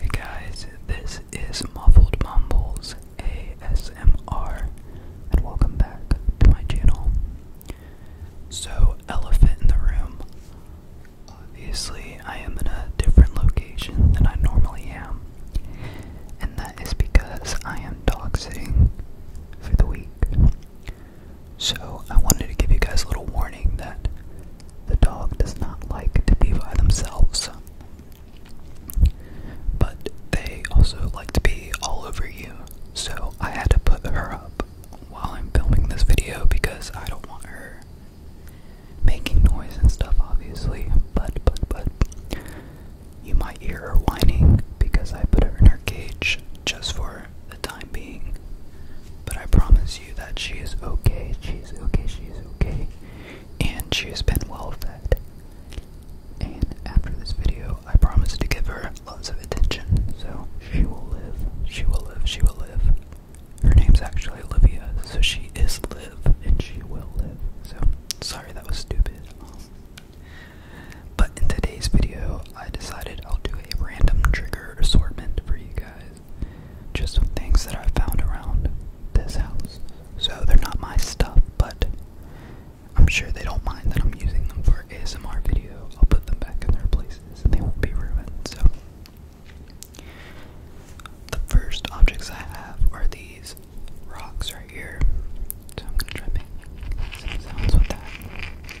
Hey guys, this is Muffled Mumbles ASMR, and welcome back to my channel. So, elephant in the room. Obviously, I am in a different location than I normally am, and that is because I am dog sitting for the week. So, I wanted to give you guys a little warning that the dog does not like to be by themselves, but they also like to be all over you. So I had to put her up while I'm filming this video because I don't want her making noise and stuff, obviously. But, but, but, you might hear her whining because I put her in her cage just for the time being. But I promise you that she is okay, she's okay, she's okay, and she has been well fed. And after this video, I promise to give her lots of attention, so she will live, she will live, she will live. Her name's actually Olivia, so she is live, and she will live. So, sorry that was stupid. But in today's video, I decided I'll do a random trigger assortment for you guys just some things that I found around this house. So they're not my stuff, but I'm sure they don't mind that I'm using them for ASMR video. I'll put them back in their places and they won't be ruined. So the first objects I have are these rocks right here. So I'm gonna try to sounds with that.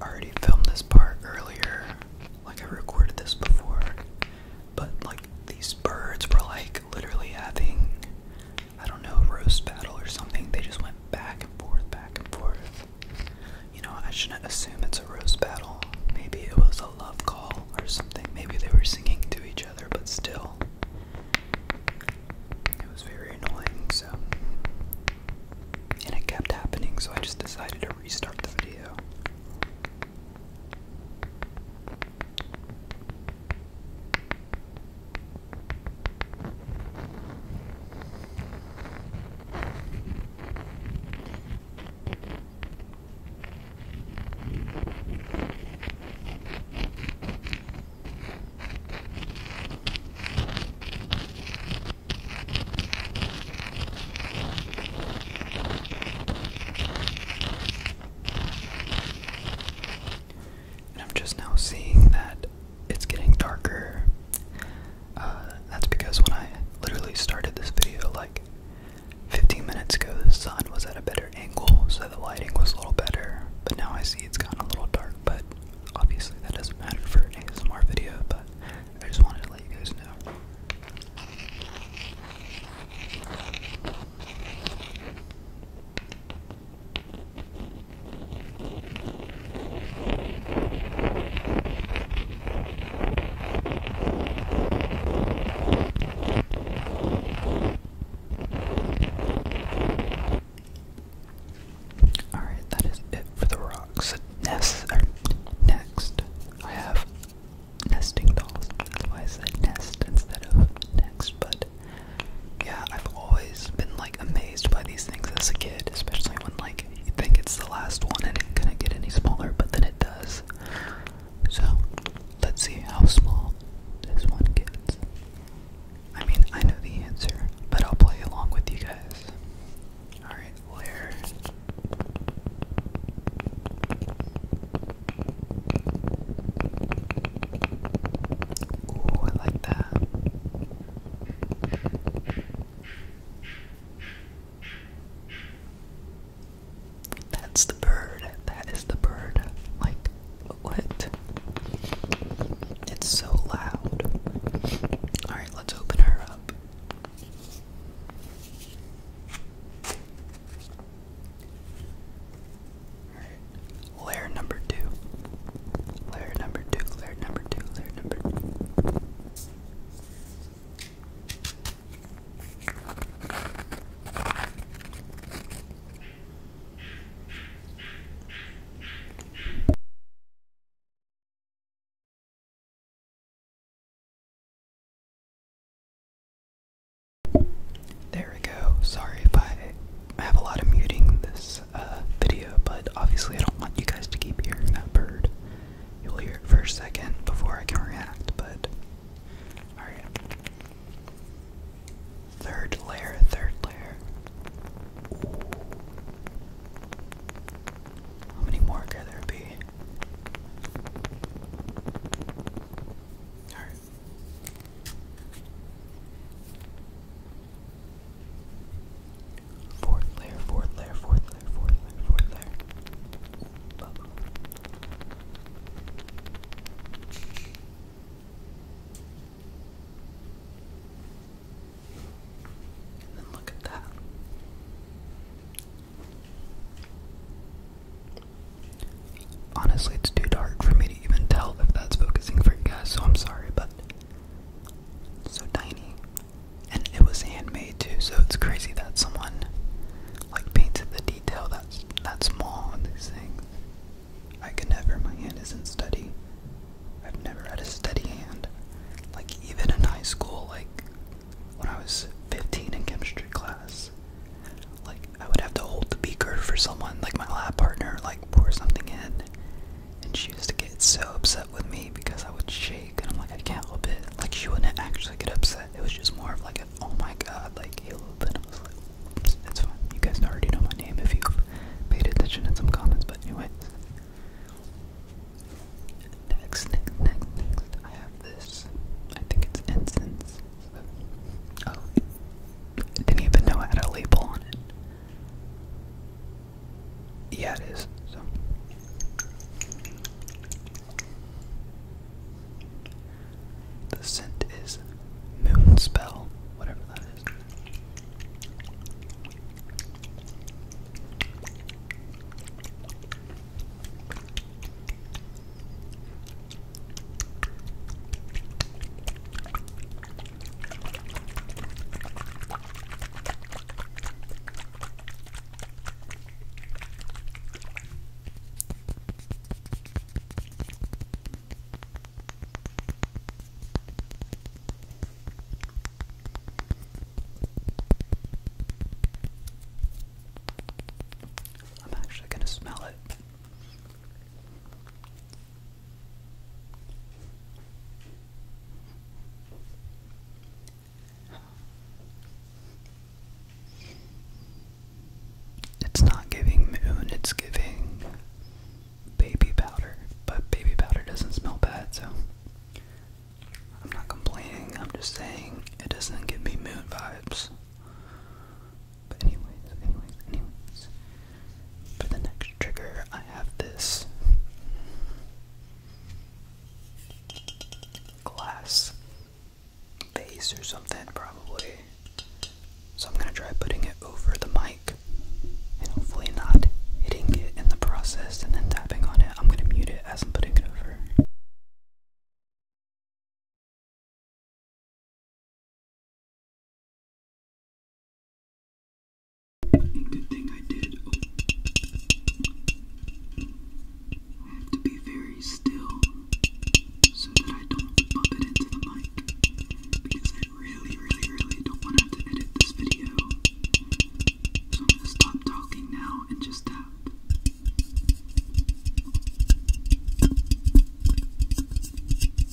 I already filmed this part earlier, like I recorded this before, but like these birds were like literally having, I don't know, roast battle or something. They just went back and forth, back and forth. You know, I shouldn't assume it's a rose battle. Maybe it was a love call or something. Maybe they were singing to each other but still, it was very annoying. So, and it kept happening, so I just decided to restart the video. And I'm just now seeing that it's getting darker. Uh, that's because when I literally started this video, like Fifteen minutes ago, the sun was at a better angle, so the lighting was a little better. But now I see it's gotten a little dark, but obviously that doesn't matter for a ASMR video, but I just wanted to let you guys know. Alright, that is it for the rocks. Nest, or next, I have nesting dolls. That's why I said nest instead of next, but yeah, I've always been like amazed by these things as a kid, especially when like you think it's the last one and it's gonna get any smaller, but then it does. So let's see how small this one gets. I mean, I know the answer, but I'll play along with you guys. Alright, layer. Ooh, I like that. That's the bird. That is the bird. Like, what? It's so loud. Alright, let's open her up. layer number two. Layer number two, layer number two, layer number there we go. Sorry if I have a lot of muting this uh, video, but obviously I don't want you guys to keep hearing that bird. You'll hear it for a second before I can react, but. Alright. Third layer, third layer. How many more can there be? Alright. Fourth layer, fourth layer, fourth layer, fourth layer, fourth layer. And then look at that. Honestly, it's too dark for me to even tell if that's focusing for you guys, so I'm sorry, but. So tiny and it was handmade too. So it's crazy that someone like painted the detail that's that small on these things. I could never. My hand isn't steady. I've never had a steady hand. Like even in high school, like when I was 15 in chemistry class, like I would have to hold the beaker for someone, like my lab partner, like pour something in, and she used to get so upset with me because I would shake and I'm like, I can't help it. Like she wouldn't actually get upset. It was just more of like a, oh my god, like a little bit. I was like, it's fine. You guys already know my name if you've paid attention in some comments, but anyway. Next, next, next, next, I have this. I think it's incense. Oh, didn't even know I had a label on it. Yeah, it is. So. The scent is Moon Spell, whatever that is. I'm actually going to smell it. It's not giving moon, it's giving baby powder, but baby powder doesn't smell bad, so I'm not complaining, I'm just saying it doesn't give me moon vibes. But anyways, anyways, anyways. For the next trigger, I have this glass vase or something, probably. So I'm gonna try putting it over the mic and hopefully not hitting it in the process and then tapping on it. I'm gonna mute it as I'm putting it over. Good thing I did. Oh. I have to be very still so that I don't bump it into the mic because I really, really, really don't want to have to edit this video. So I'm gonna stop talking now and just tap.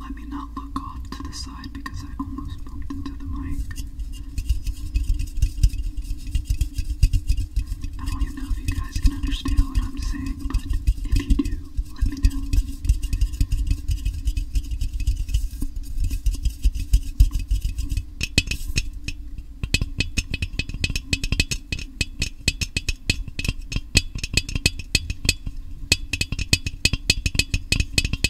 Let me not look off to the side because I almost bumped into the mic. I don't even know if you guys can understand what I'm saying, but if you do, let me know.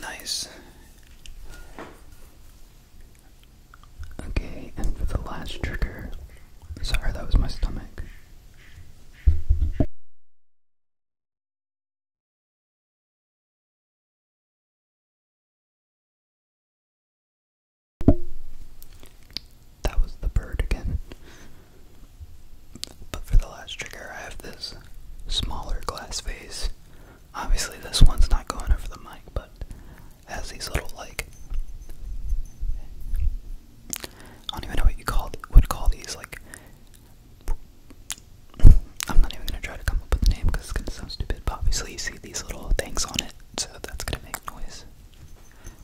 Nice. Okay, and for the last trigger, sorry, that was my stomach. That was the bird again. But for the last trigger, I have this smaller glass vase. Obviously, this one's not going over the mic, but it has these little like I don't even know what you call would call these like. I'm not even gonna try to come up with a name because it's gonna sound stupid. But obviously, you see these little things on it, so that's gonna make noise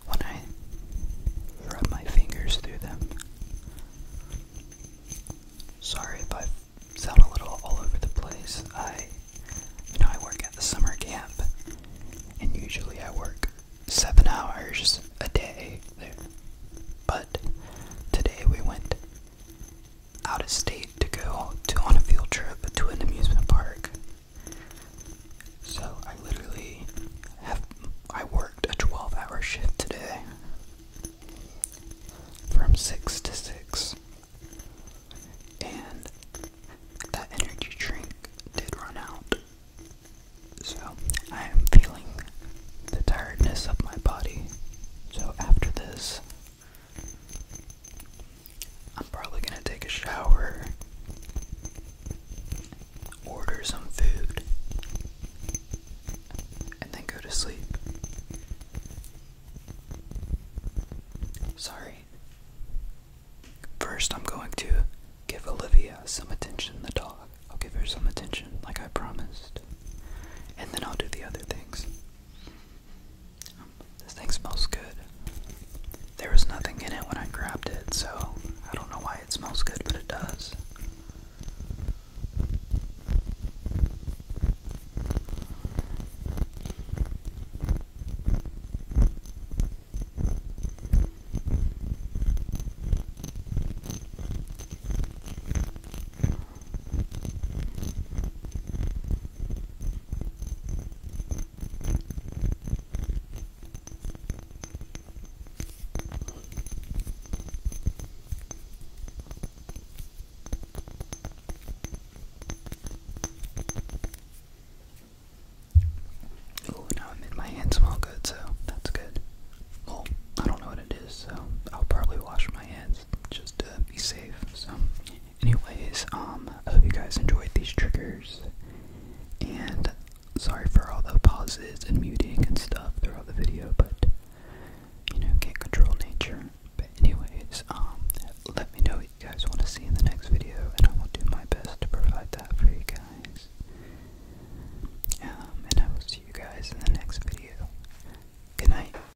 when I rub my fingers through them. Sorry if I sound a little all over the place. I, you know, I work at the summer camp, and usually I work seven hours a day there. But today we went out of state to go to on a field trip to an amusement park so I literally have I worked a 12-hour shift today from 6 to 6. And that energy drink did run out. So I am feeling the tiredness of my body. So after this, I'm probably gonna take a shower, order some food, and then go to sleep. Sorry. First, I'm going to give Olivia some attention, the dog. I'll give her some attention, like I promised. And then I'll do the other things. This thing smells good. There was nothing in it when I grabbed it, so I don't know why it smells good, but it does. Oh, now my hands smell good, so that's good. Well, I don't know what it is, so I'll probably wash my hands just to be safe. So, Anyways, um, I hope you guys enjoyed these triggers, and sorry for all the pauses and muting and stuff throughout the video, but you know, can't control nature. But anyways, um, let me know what you guys want to see in the next video, and I will do my best to provide that for you guys. Um, and I will see you guys in the next video. Good night.